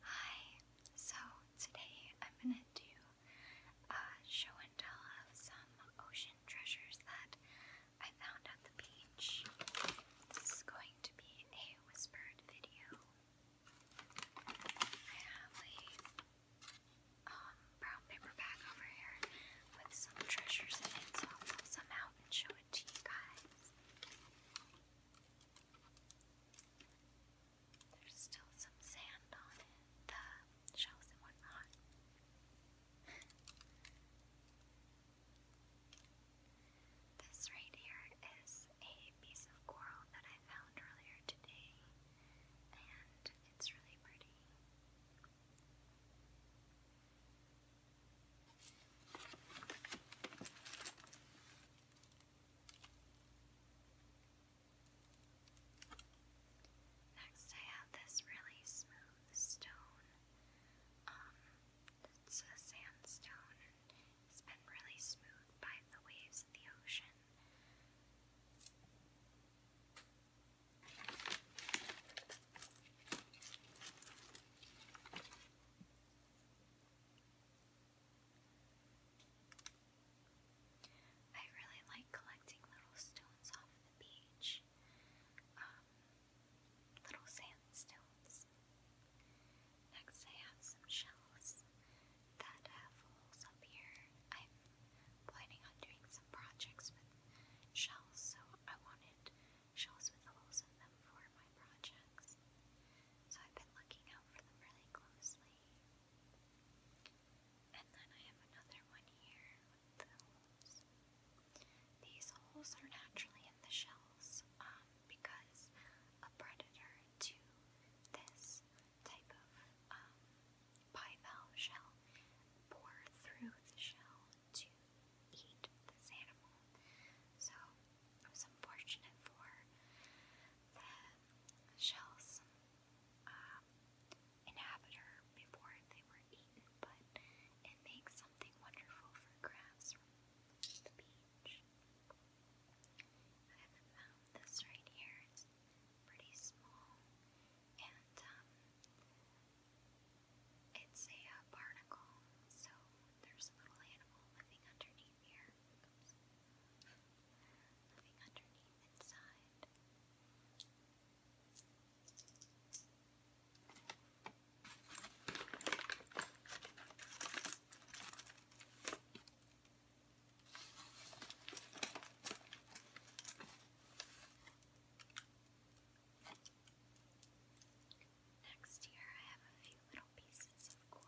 Hi, so today I'm going to do a show and tell of some ocean treasures that I found at the beach. This is going to be a whispered video. I have a um, brown paper bag over here with some treasures in it, so I'll pull some out and show it to you guys. There's still some sand on the shells and whatnot. this right here is a piece of coral that I found earlier today, and it's really pretty. Next, I have this really smooth stone. Um, it's a sandstone, it's been really smooth by the waves of the ocean. I really like collecting little stones off the beach, um, little sandstones. Next, I have some shells that have uh, holes up here planning on doing some projects with shells, so I wanted shells with holes in them for my projects. So I've been looking out for them really closely. And then I have another one here with the holes. These holes are naturally in the shells um, because a predator to this type of um, bivalve shell pour through the shell to eat this animal. So it was unfortunate for the shell's um, inhabitor before they were eaten, but it makes something wonderful for crabs from the beach. I haven't found this right here is pretty small, and um, it's a uh, barnacle, so there's a little animal living underneath here. Oops. living underneath inside. Next here, I have a few little pieces of coral.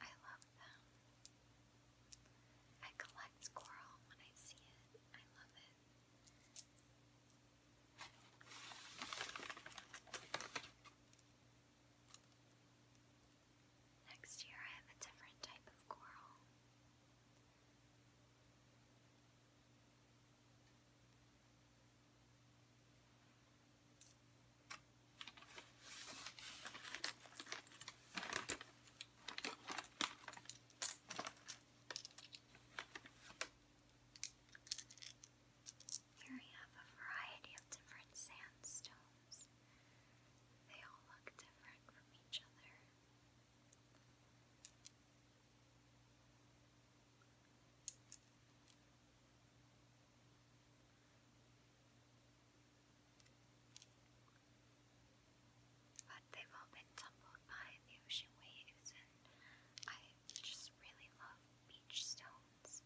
I love them. I collect coral when I see it. I love it. Next year I have a different type of coral. Here we have a variety of different sandstones. They all look different from each other. But they've all been tumbled by the ocean waves, and I just really love beach stones.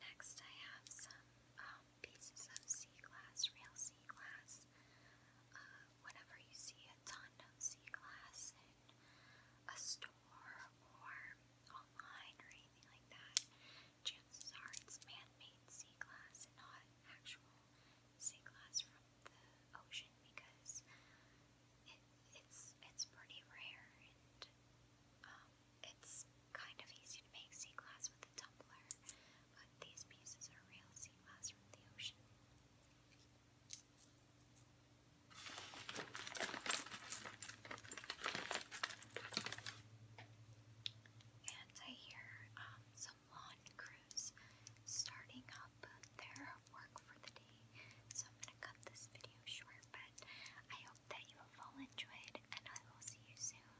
Next, I have some um, pieces of sea glass, real sea glass. Uh, whenever you see a ton of sea glass, a store or online or anything like that, chances are it's man-made sea glass and not actual sea glass from the ocean because it's it's pretty rare and um, it's kind of easy to make sea glass with a tumbler, but these pieces are real sea glass from the ocean. And I hear um, some lawn crews starting up their work for the day. So I'm going to cut this video short, but I hope that you have all enjoyed, and I will see you soon.